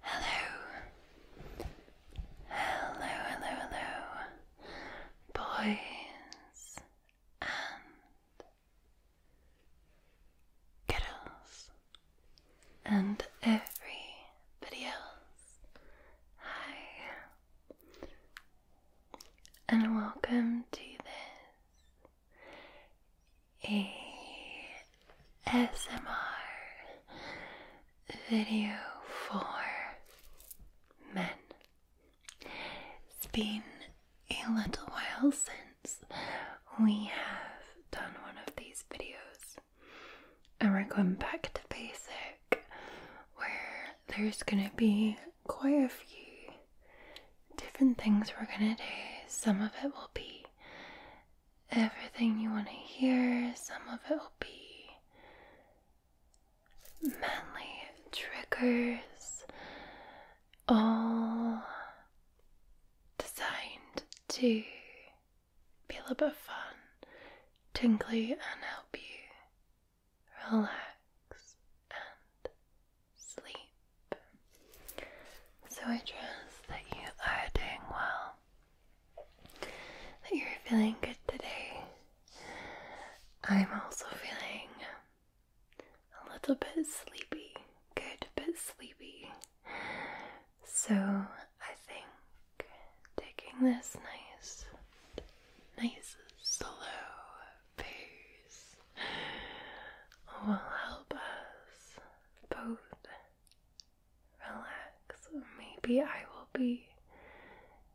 Hello. Hello, hello, hello. Boys and girls and everybody else. Hi. And welcome to this a SMR video for men. It's been a little while since we have done one of these videos, and we're going back to basic where there's gonna be quite a few different things we're gonna do. Some of it will be everything you want to hear, some of it will be manly triggers, all designed to be a little bit fun, tingly, and help you relax sleep. So I trust that you are doing well, that you're feeling good today. I'm also feeling a little bit sleepy, good bit sleepy. So I think taking this nice, nice, slow, booze will help us both relax. Maybe I will be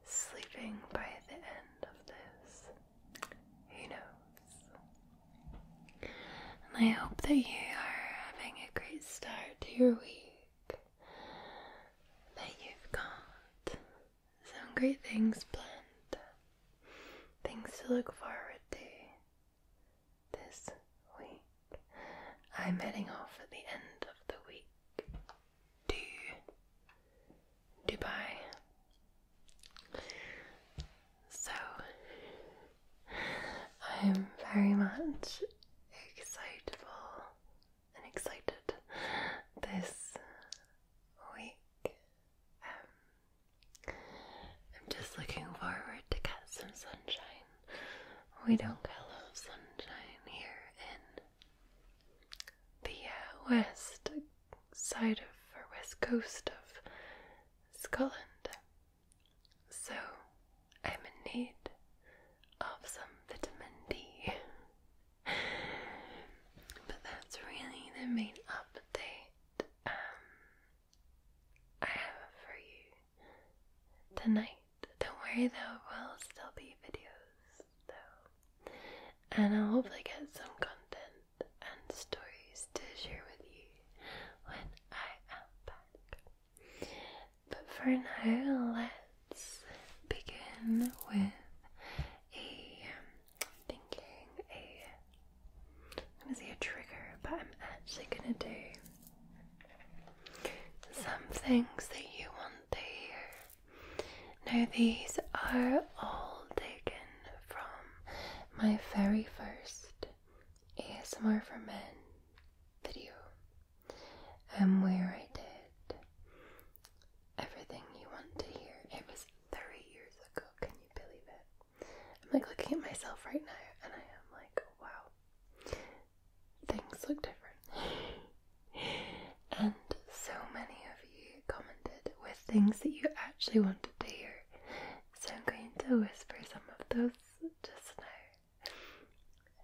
sleeping by the end of this. Who knows? And I hope that you are having a great start to your week. That you've got some great things planned Things to look forward to this week. I'm heading off at the end of the week to Dubai. So I'm very much excitable and excited this week. Um, I'm just looking forward to get some sunshine. We don't get a lot of sunshine here in the uh, west side of the west coast of Scotland. So I'm in need of some vitamin D. but that's really the main update um, I have for you tonight. Don't worry though, will still be videos though, and I'll hopefully get some content and stories to share with you when I am back. But for now, let's begin with a um, thinking a I'm gonna say a trigger, but I'm actually gonna do some things that you want to hear. Now these are all taken from my very first ASMR for Men video, and um, where I did everything you want to hear. It was three years ago, can you believe it? I'm like looking at myself right now and I am like, wow, things look different. and so many of you commented with things that you actually wanted to hear. So I'm going to whisper some of those just now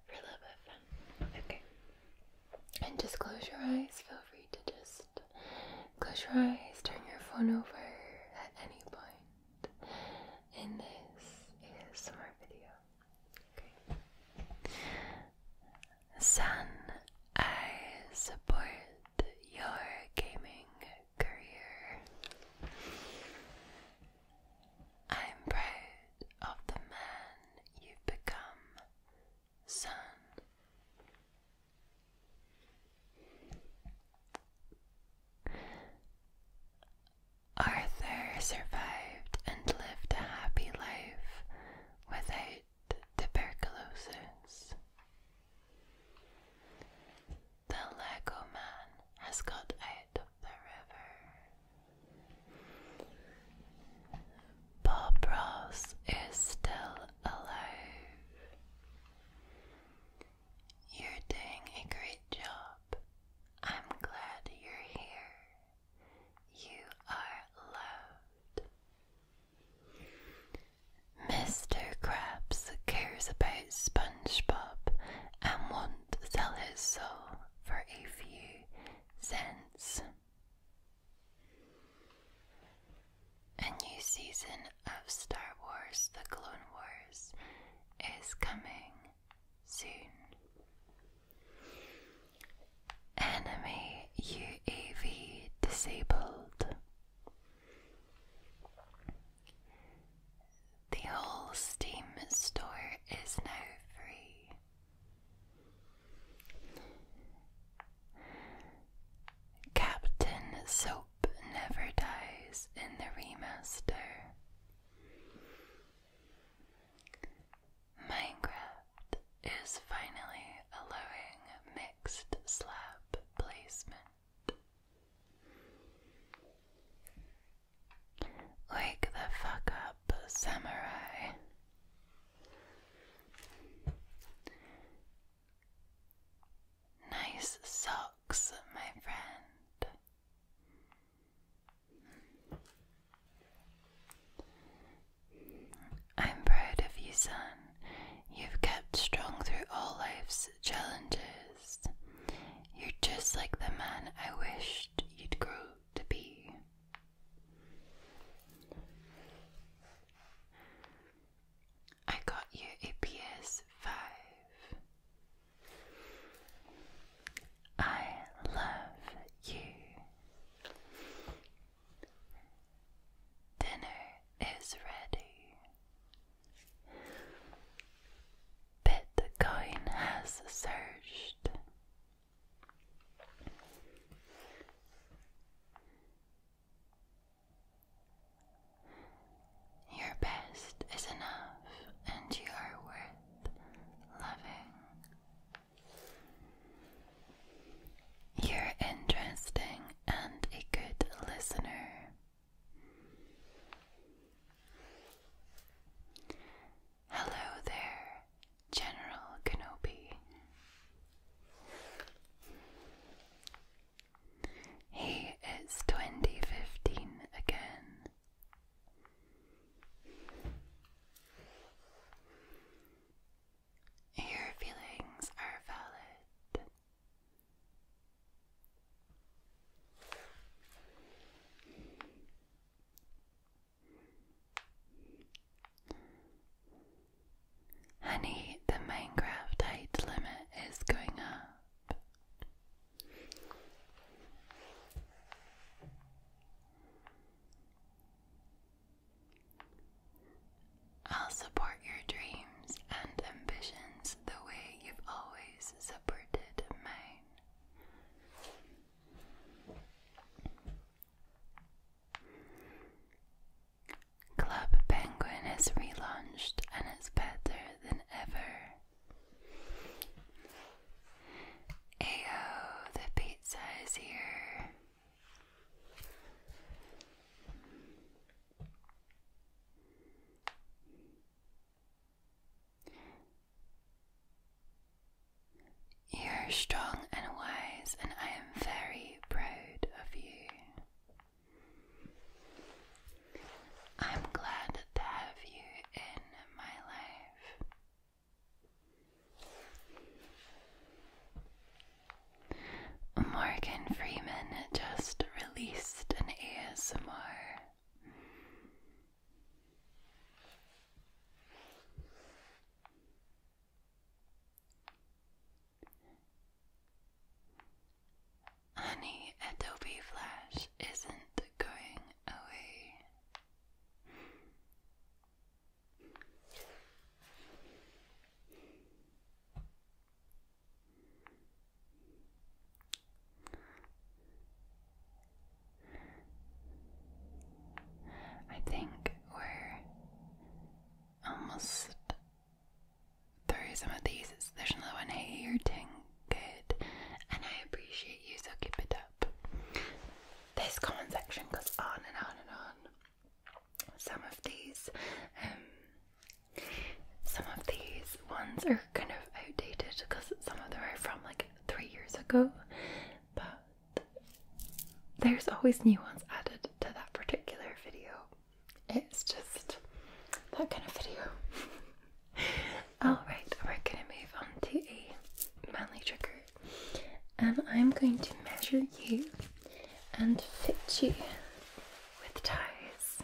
for a little bit Okay. And just close your eyes, feel free to just close your eyes, turn your phone over at any and this is summer video. Son, I support your gaming career. I'm proud of the man you've become, son. Arthur survived and lived a happy life without tuberculosis. The Lego man has got out of the river. Bob Ross is still alive. You're doing a great job. I'm glad you're here. You are loved. Mr. Krabs cares about SpongeBob and won't sell his soul for a few cents. A new season of Star Wars The Clone Wars is coming soon. Enemy UAV disabled. The whole Steam store is now free. Captain Soap Never Dies in the Remaster. Minecraft is finally allowing mixed slab placement. Wake the fuck up, samurai. Nice socks, my friend. I'm proud of you, son. You've kept strong through all life's challenges. You're just like the man I wished you'd grow to be. I got you a PS5. I love you. Dinner is ready. Bitcoin has surged. Your best is enough, and you are worth loving. You're interesting and a good listener. Hello there, General Kenobi. He is 2015 again. Your feelings are valid. Honey, the Minecraft height limit is going up. I'll support your dreams and ambitions the way you've always supported mine. Club Penguin is relaunched and it's better than ever. Ayo, the pizza is here. You're strong and wise, and I am very proud of you. I'm glad to have you in my life. Morgan Freeman just released an ASMR. Honey, Adobe Flash isn't going away. I think we're almost through some of these. there's another one here. You're doing good, and I appreciate you, so keep it up. This comment section goes on and on and on. Some of these, um, some of these ones are kind of outdated because some of them are from like three years ago, but there's always new ones added to that particular video it's just that kind of video. Alright, we're gonna move on to a manly trigger, and I'm going to measure you and fit you with ties.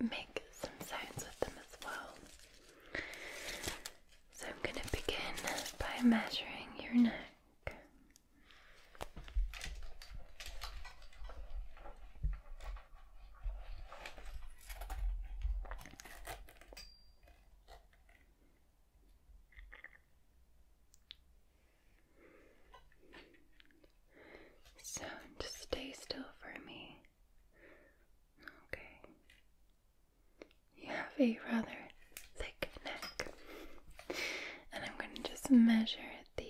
Make some sounds with them as well. So I'm going to begin by measuring your neck. So just stay still for me. Okay. You have a rather thick neck, and I'm going to just measure it the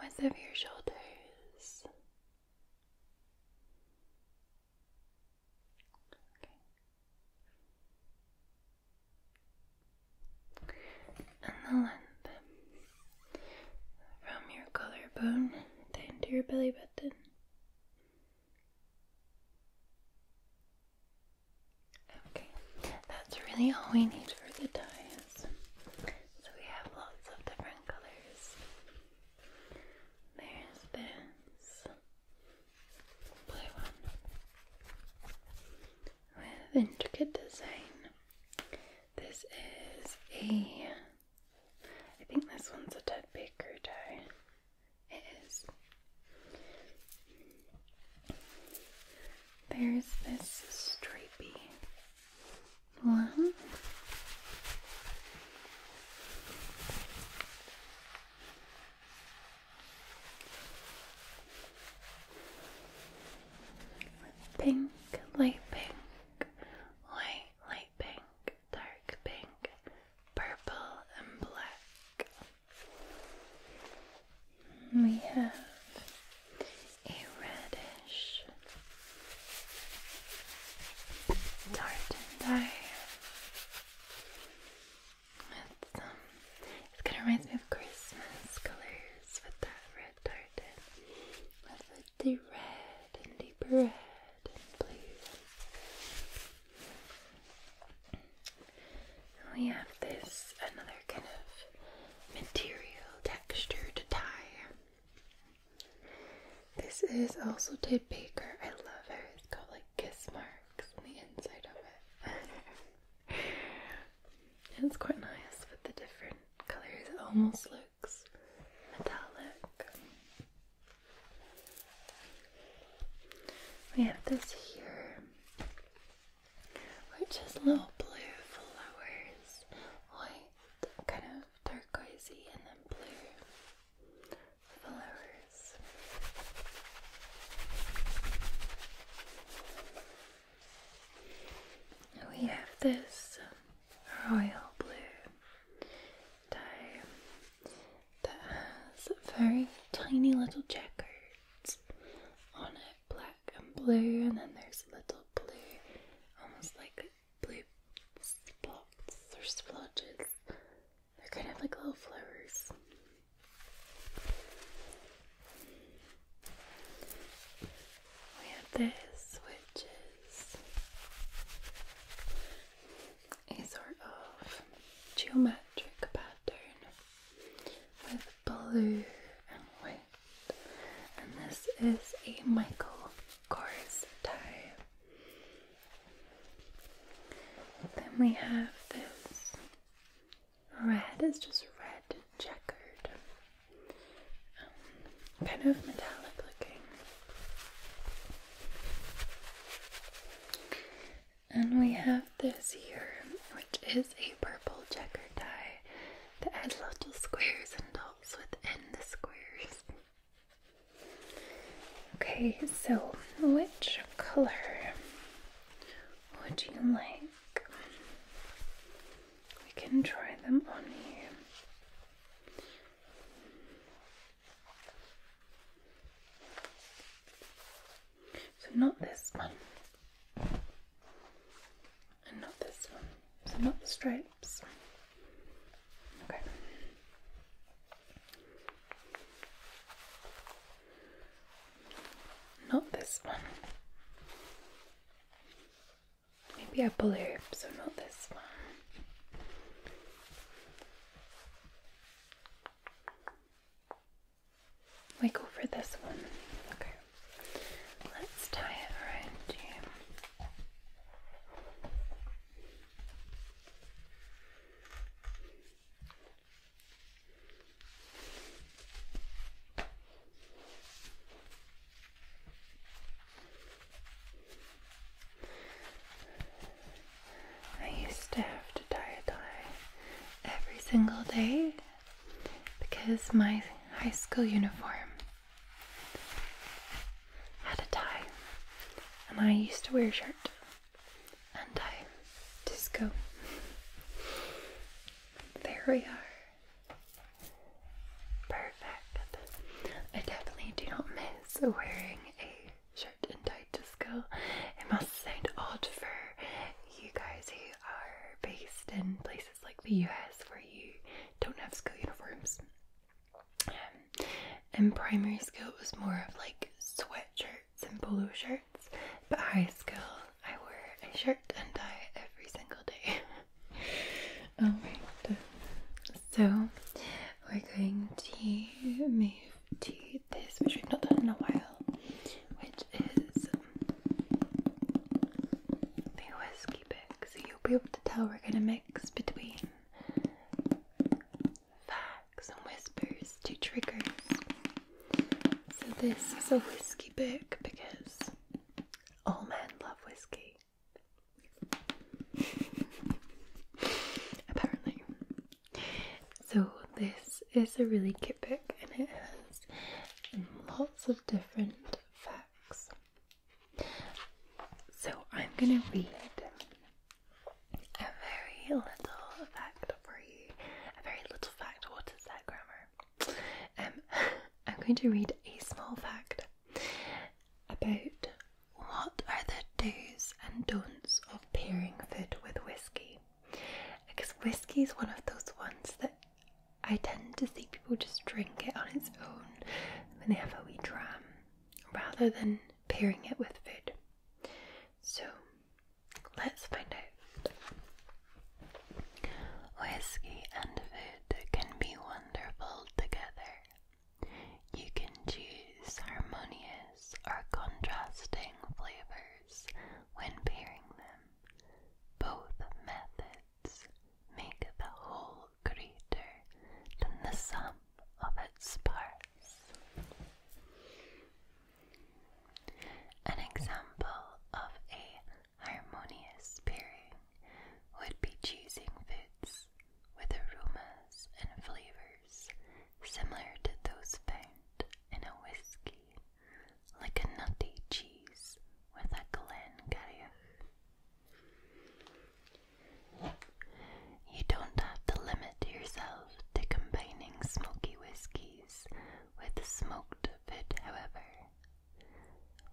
width of your shoulders. And the length from your collarbone down to your belly button. Okay, that's really all we need for the tie this. So we have lots of different colors. There's this blue one with intricate design. This is a, I think this one's a teddy Baker tie. It is. There's this stripy one. pink, light pink, light, light pink, dark pink, purple, and black. We have a reddish tartan dye. It's, um, it kind of reminds me of Christmas colors with that red tartan, with the red and the red and blue. we have this another kind of material texture to tie. This is also Ted Baker. I love her. It's got like kiss marks on the inside of it. it's quite nice with the different colors. almost looks metallic. We have this here. We're just little blue flowers, white, kind of turquoisey, and then blue flowers. We have this royal blue dye that has very tiny little checkers on it, black and blue, and then there's little blue, almost like blue spots or splotches. They're kind of like little flowers. We have this, which is a sort of geometric pattern with blue and white. And this is a Michael Kors tie. Then we have this red, it's just red checkered, um, kind of metallic looking. And we have this here, which is a purple checkered tie. There are little squares and dots within the squares. Okay, so which color would you like? We can try them on you. So, not this one, not this one. So not the stripes. Okay. Not this one. Maybe a blue, so not this one. We go for this one. Okay. Let's tie it around you. I used to have to tie a tie every single day because my high school uniform had a tie, and I used to wear a shirt and tie disco. There we are. Perfect. I definitely do not miss wearing a shirt and tie disco. It must sound odd for you guys who are based in places like the US where you don't have school uniforms. Um, and primary school, was more of like sweatshirts and polo shirts, but high school, I wore a shirt and tie every single day. Alright, oh so we're going to move to this, which we've not done in a while, is the whiskey pick. So you'll be able to tell we're going to mix between facts and whispers to triggers. So this is a whiskey pick because all men love whiskey. Apparently. So this is a really cute book and it has lots of different facts so I'm going to read a very little fact for you. A very little fact. What is that grammar? Um, I'm going to read a small fact about what are the do's and don'ts of pairing food with whiskey. Because whiskey is one of those ones that I tend to see people just drink it on its own when they have a wee dram rather than pairing it with food. So let's find out. Whiskey and food can be wonderful together. You can choose harmonious or contrasting flavors when pairing them. Both methods make the whole greater than the sum of its parts. An example of a harmonious pairing would be choosing foods with aromas and flavors similar to those found in a whiskey like a nutty cheese with a Glencairn. You don't have to limit yourself to combining smoky whiskies with smoked food, however.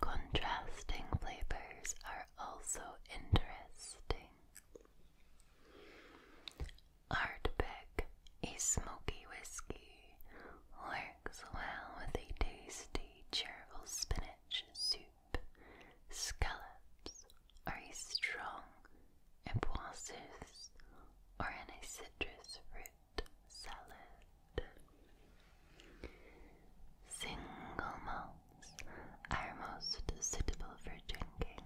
Contrasting flavors are also interesting. Ardbeg, a smoky whiskey, or well with a tasty, cheerful spinach soup, scallops, or a strong empoisses, or in a citrus fruit salad. Single malts are most suitable for drinking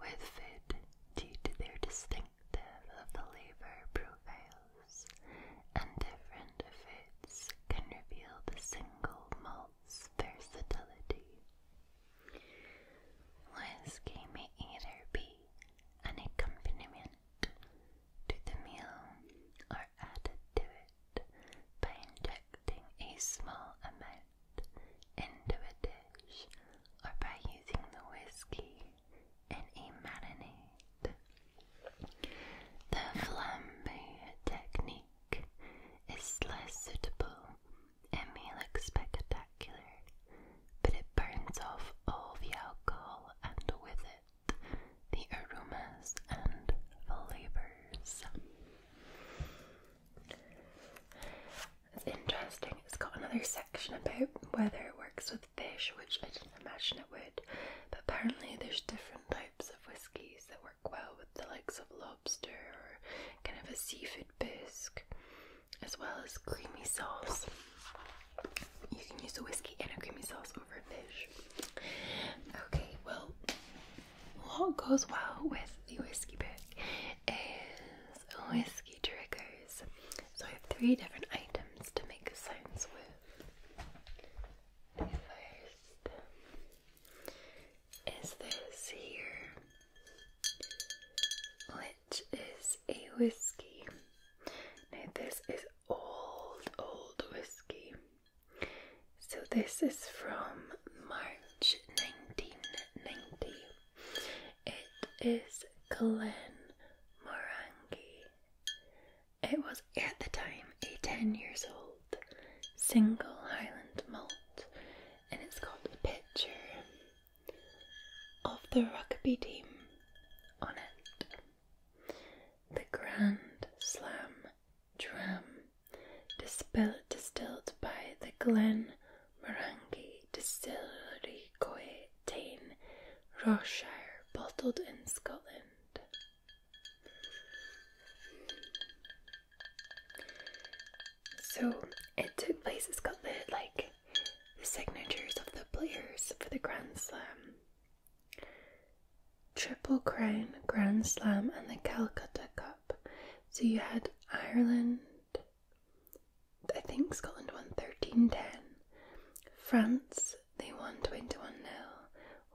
with food due to their distinctive flavor profile and different foods can reveal the single malt's versatility. Whiskey may either be an accompaniment to the meal or added to it by injecting a small amount into a dish or by using the whiskey in a marinade the flambe technique is less suitable and may look spectacular, but it burns off all the alcohol and with it the aromas and flavors. It's interesting, it's got another section about whether it works with fish, which I didn't imagine it would. But apparently, there's different types of whiskies that work well with the likes of lobster or kind of a seafood bisque, as well as creamy sauce. You can use a whiskey and a creamy sauce over fish. Okay, well, what goes well with the whiskey pick is whiskey triggers. So I have three different items to make sounds with. The first is this here, which is a whiskey. Now, this is old, old whiskey. So, this is from March 1990. It is Glen Morangi it was at the time a 10 years old single Highland malt, and it's got a picture of the rugby team on it. The Grand Slam Dram, distilled by the Glen Morangi Distillery, Coetaine, Ross bottled in Scotland. So it took place. It's got the like the signatures of the players for the Grand Slam, Triple Crown, Grand Slam, and the Calcutta Cup. So you had Ireland. I think Scotland won thirteen ten. France they won 21 0.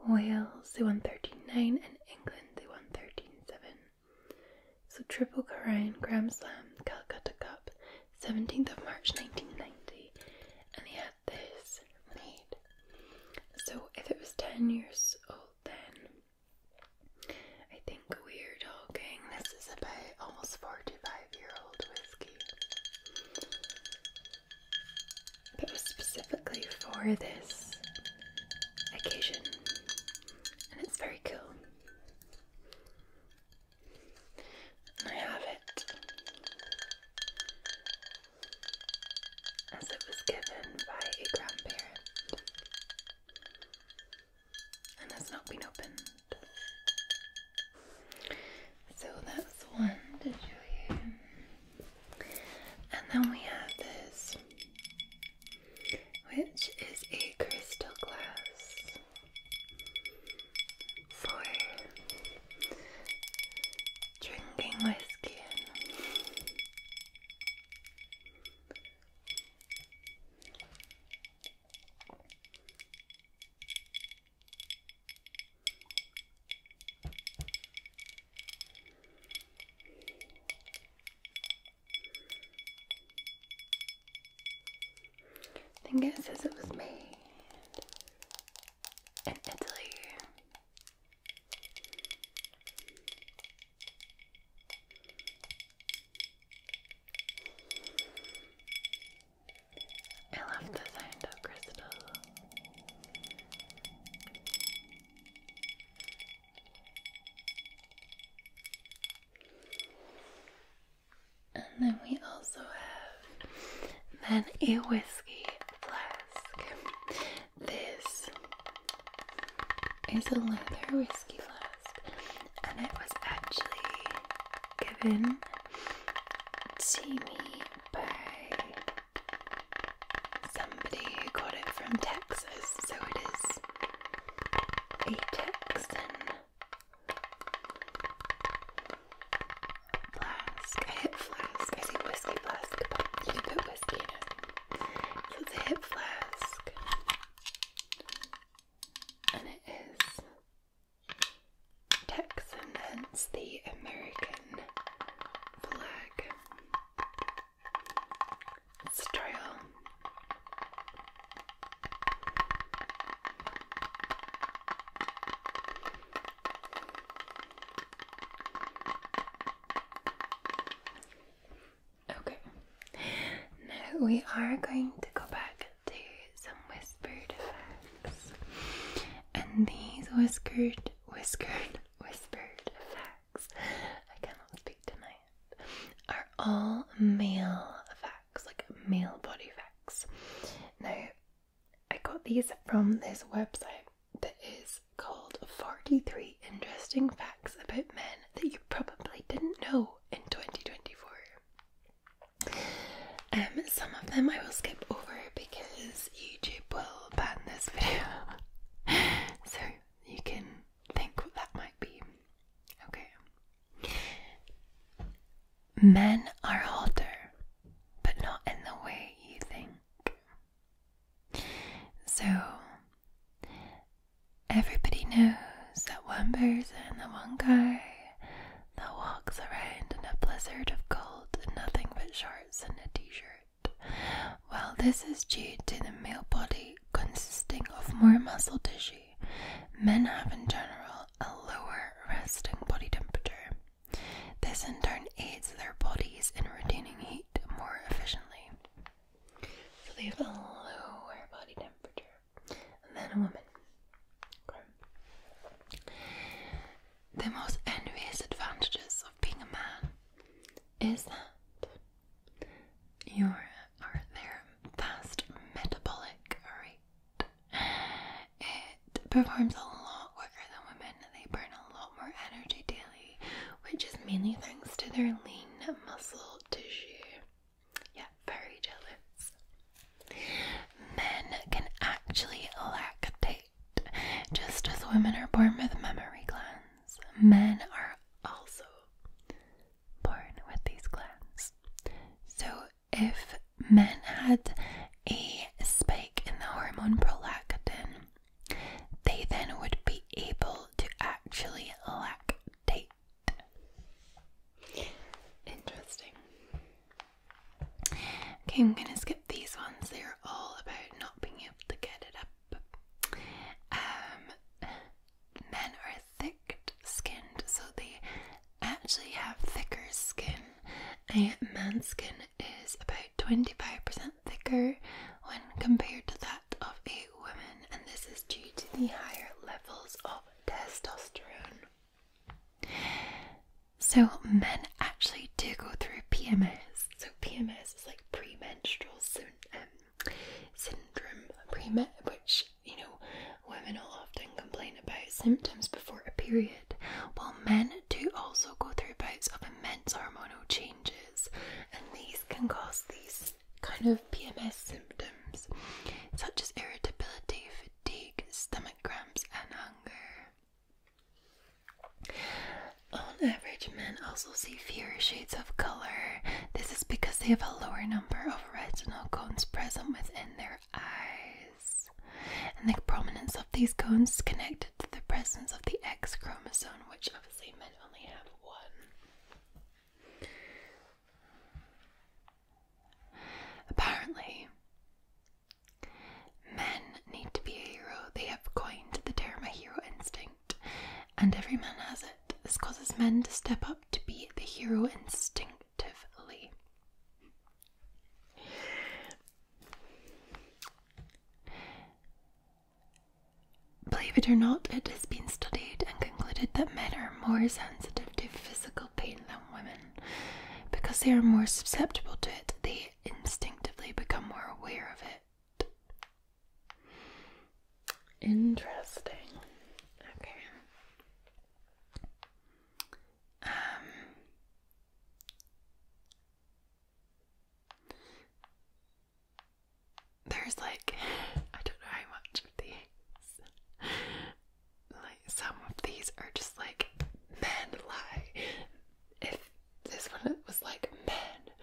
Wales, they won 13 And England, they won 13 7. So, Triple Corian Grand Slam Calcutta Cup, 17th of March 1990. And he had this made. So, if it was 10 years old then, I think we're talking this is about almost 45 year old whiskey but it was specifically for this occasion, and it's very cool. I have it as it was given by a grandparent and has not been opened. So that's one to show you. And then we have this, which is a crystal glass for drinking whiskey I think it says it was made in Italy. I love the sound of crystals. And then we also have then a whiskey flask. This is a leather whiskey flask, and it was actually given to me by Somebody got it from Texas, so it is a Texan flask. A hip flask. I think whiskey flask, but you can put whiskey in it. So it's a hip flask. And it is Texan, hence the American flag style. Okay, now we are going to go back to some whispers these bird And these whiskered, whiskered, whispered facts I cannot speak tonight, are all male facts, like male body facts. Now, I got these from this website that is called 43 Interesting Facts About Men That You Probably Didn't Know in 2024. Um, some of them I will skip over because YouTube will ban this video. so you can think what that might be. Okay. Men are hotter, but not in the way you think. So everybody knows that one person, the one guy that walks around in a blizzard of gold and nothing but shorts stars a t-shirt. Well, this is due to the male body consisting of more muscle tissue. Men have in general a lower resting body temperature. This in turn aids their bodies in retaining heat more efficiently. So they have a lower body temperature than a woman. The most envious advantages of being a man is that your are their fast metabolic rate. It performs a lot quicker than women. They burn a lot more energy daily, which is mainly thanks to their lean muscle tissue. Yeah, very jealous. Men can actually lactate just as women are born with memory glands, men are also born with these glands. So if men had a spike in the hormone prolactin, they then would be able to actually lactate. Interesting. Okay, I'm gonna skip these ones. They're all about not being able to get it up. Um, men are thick-skinned, so they actually have thicker skin. A man's skin is about 25% thicker when compared to that of a woman, and this is due to the higher levels of testosterone. So, men actually do go through PMS. So, PMS is like premenstrual syn- um, syndrome, pre- which, you know, women will often complain about symptoms before a period, while men do also go through bouts of immense hormonal changes, and these can cause these kind of PMS symptoms, such as irritability, fatigue, stomach cramps, and hunger. On average, men also see fewer shades of color. This is because they have a lower number of retinal cones present within their eyes. And the prominence of these cones is connected to the presence of the X chromosome, which obviously men only have one. Apparently, Men need to be a hero. They have coined the term a hero instinct, and every man has it. This causes men to step up to be the hero instinctively. Believe it or not, it has been studied and concluded that men are more sensitive to physical pain than women. Because they are more susceptible to it, they instinctively become more aware of it. Interesting. Okay. Um there's like I don't know how much of these like some of these are just like men lie this one was like, man,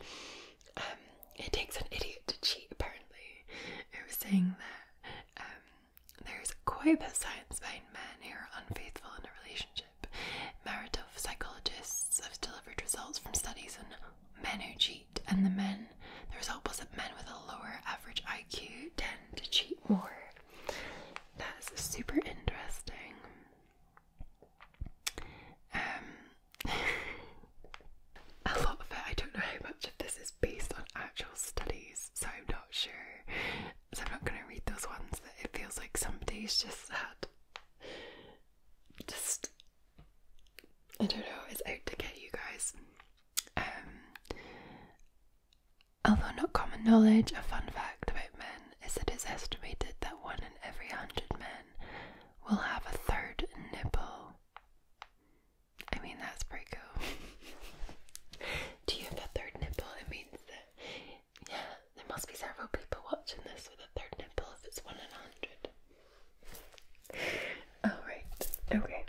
um, it takes an idiot to cheat, apparently. It was saying that um, there's quite a bit of science behind men who are unfaithful in a relationship. Marital psychologists have delivered results from studies on men who cheat, and the men, the result was that men with a lower average IQ tend to cheat more. That's super interesting. Um, a lot of it, I don't know how much of this is based on actual studies, so I'm not sure. So I'm not going to read those ones that it feels like somebody's just had. Just, I don't know, it's out to get you guys. Um, Although not common knowledge, a fun fact about men is that it's estimated that one in every hundred men will have a third nipple. I mean, that's pretty cool. Do you have a third nipple? It means that, yeah, there must be several people watching this with a third nipple if it's one in a hundred. Alright, oh, okay.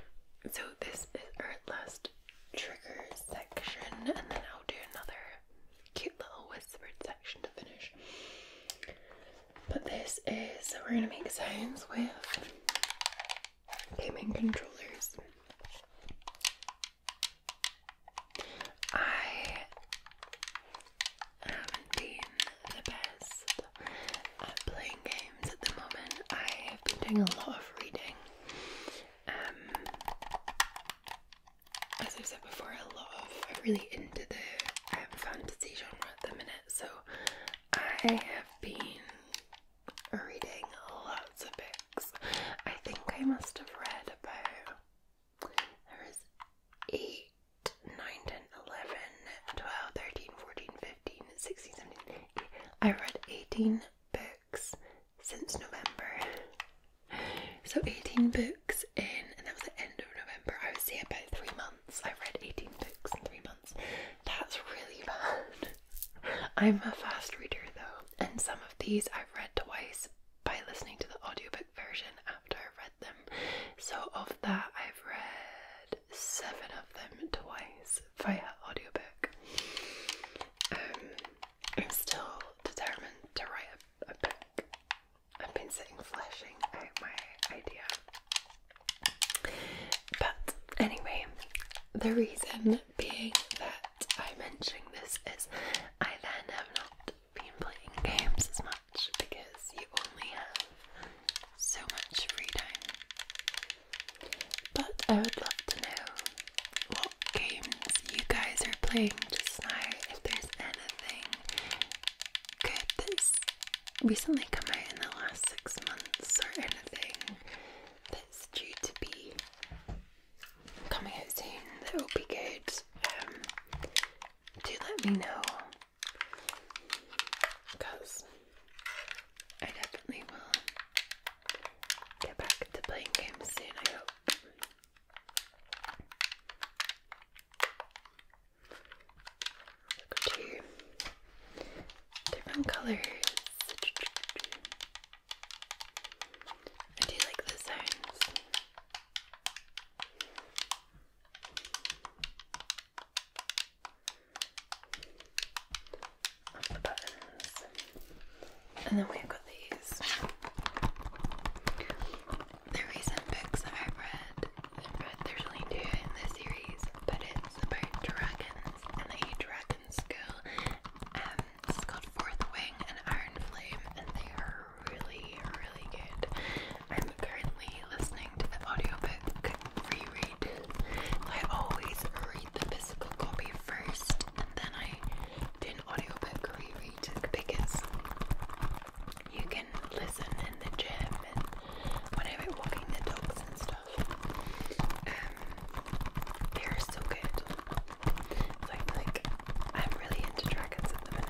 So, this is our last trigger section, and then I'll do another cute little whispered section to finish. But this is so we're gonna make signs with gaming controllers. I haven't been the best at playing games at the moment. I have been doing a lot of reading. Um, as i said before, I love. I'm really into the fantasy genre at the minute, so I have been reading lots of books. I think I must have read about there is 8, 9, 10, 11, 12, 13, 14, 15, 16, 17, I read 18 books since November. So 18 books in, and that was the end of November. I was here about three months. I read 18 books in three months. That's really bad. I'm a fast reader though, and some of these I've read twice by listening to the audiobook version after I read them. So of that I've read seven of them twice via audiobook. Um I'm still determined to write a, book. I've been sitting fleshing out my idea. But anyway, the reason being that I'm mentioning this is I then have not been playing games as much because you only have so much free time. But I would love to know what games you guys are playing just now, if there's anything good that's recently come out in the last six months or anything that's due to be coming out soon that will be good, um, let me know because I definitely will get back to playing games soon, I hope. Look at you. Different colors. I do like the sounds. Of the buttons. And then we've got these. The recent books that I've read, I've read there's only two in this series, but it's about dragons and the dragon school. Um, it's called Fourth Wing and Iron Flame, and they are really, really good. I'm currently listening to the audiobook reread. I always read the physical copy first, and then I did audiobook reread because you can listen in the gym and whenever walking the dogs and stuff. Um, they're so good. So I'm like, I'm really into dragons at the minute.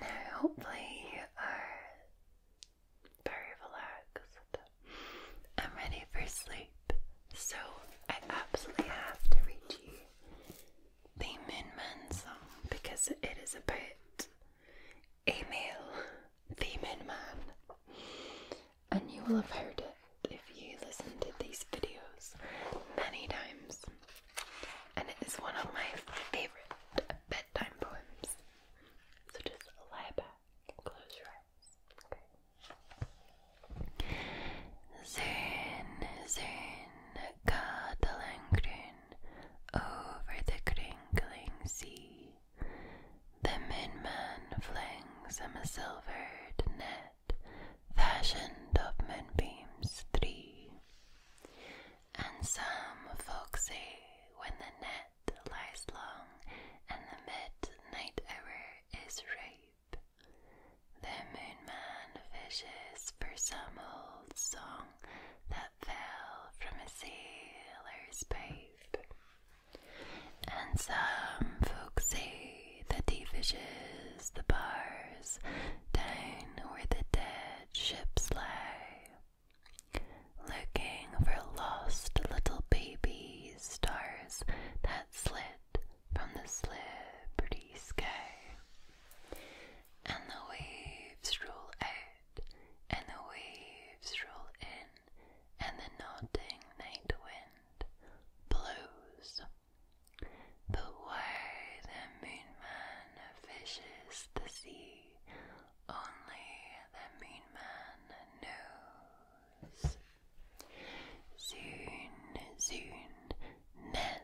Now, hopefully, you are very relaxed. I'm ready for sleep, so I absolutely have to read you the Moonman song because it is about a male, the man, and you will have heard it if you listen to these videos many times. And it is one of my favorite bedtime poems. So just lie back close your eyes. Okay. Zern, zern, cuddling green over the crinkling sea. The moonman flings a silvered net fashioned of moonbeams three and some say when the net lies long and the midnight hour is ripe. The moonman fishes for some old song that fell from a sailor's pipe. And some folks say that he fishes the bars down where the dead ships lie looking for lost little baby stars that slid from the slippery sky. And the waves roll out, and the waves roll in, and the nodding night wind blows. But where the moon man fishes the sea, only the mean man knows. Soon, soon, Ned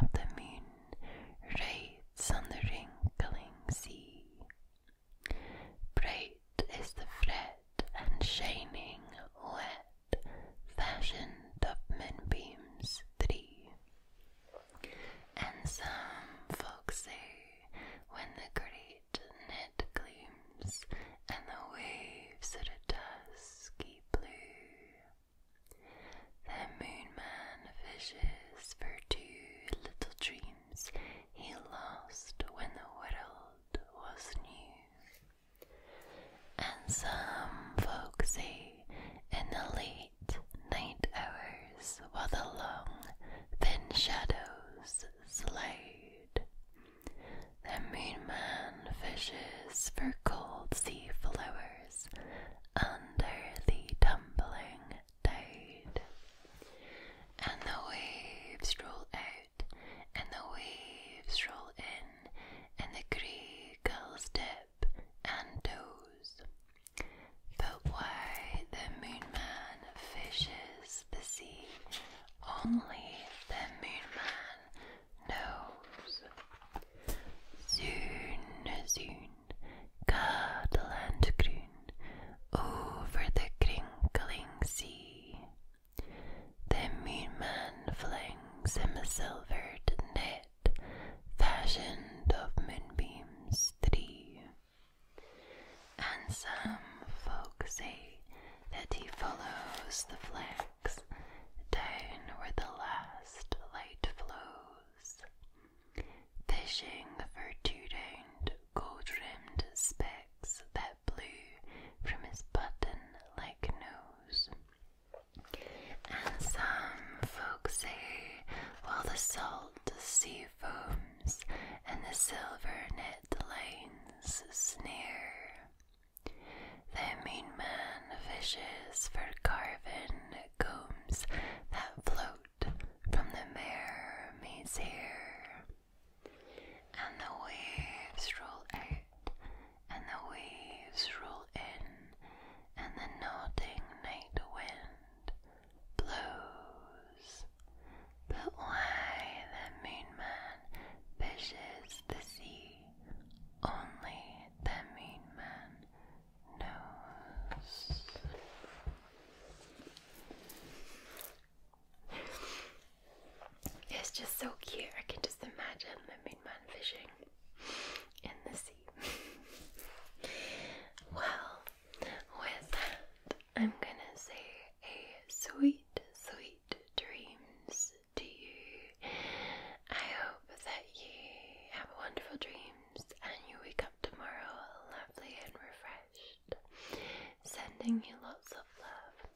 of the Moon raids on the wrinkling sea. Bright is the fret and shining wet, fashioned of moonbeams three. And some folks say when the great net gleams and the waves at a dusky blue, the moonman fishes for two little dreams he lost when the world was new. And some folks say in the late night hours while the long, thin shadows slide. The moonman fishes for cold sea flowers under the tumbling tide, and the waves roll out, and the waves roll in, and the gray gulls dip and toes. But why the moon man fishes the sea, only the moon man knows. Soon, soon, cuddle and croon over the crinkling sea. The moon man flings him a silvered net it, fashioned of moonbeams three. And some folks say that he follows the flags down where the last light flows, fishing for two round gold rimmed specks that blew from his button like nose. And some folks say, while the salt the sea foams and the silver net lanes snare. The mean man fishes for carven combs that float from the mare hair. And the waves roll out, and the waves roll in, and the nodding night wind blows. But why the Moonman fishes the sea, only the Moonman knows. It's just so cute. I can just imagine the Moonman fishing in the sea. well, with that, I'm gonna say a sweet, sweet dreams to you. I hope that you have wonderful dreams and you wake up tomorrow lovely and refreshed. Sending you lots of love.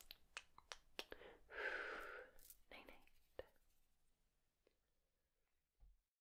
night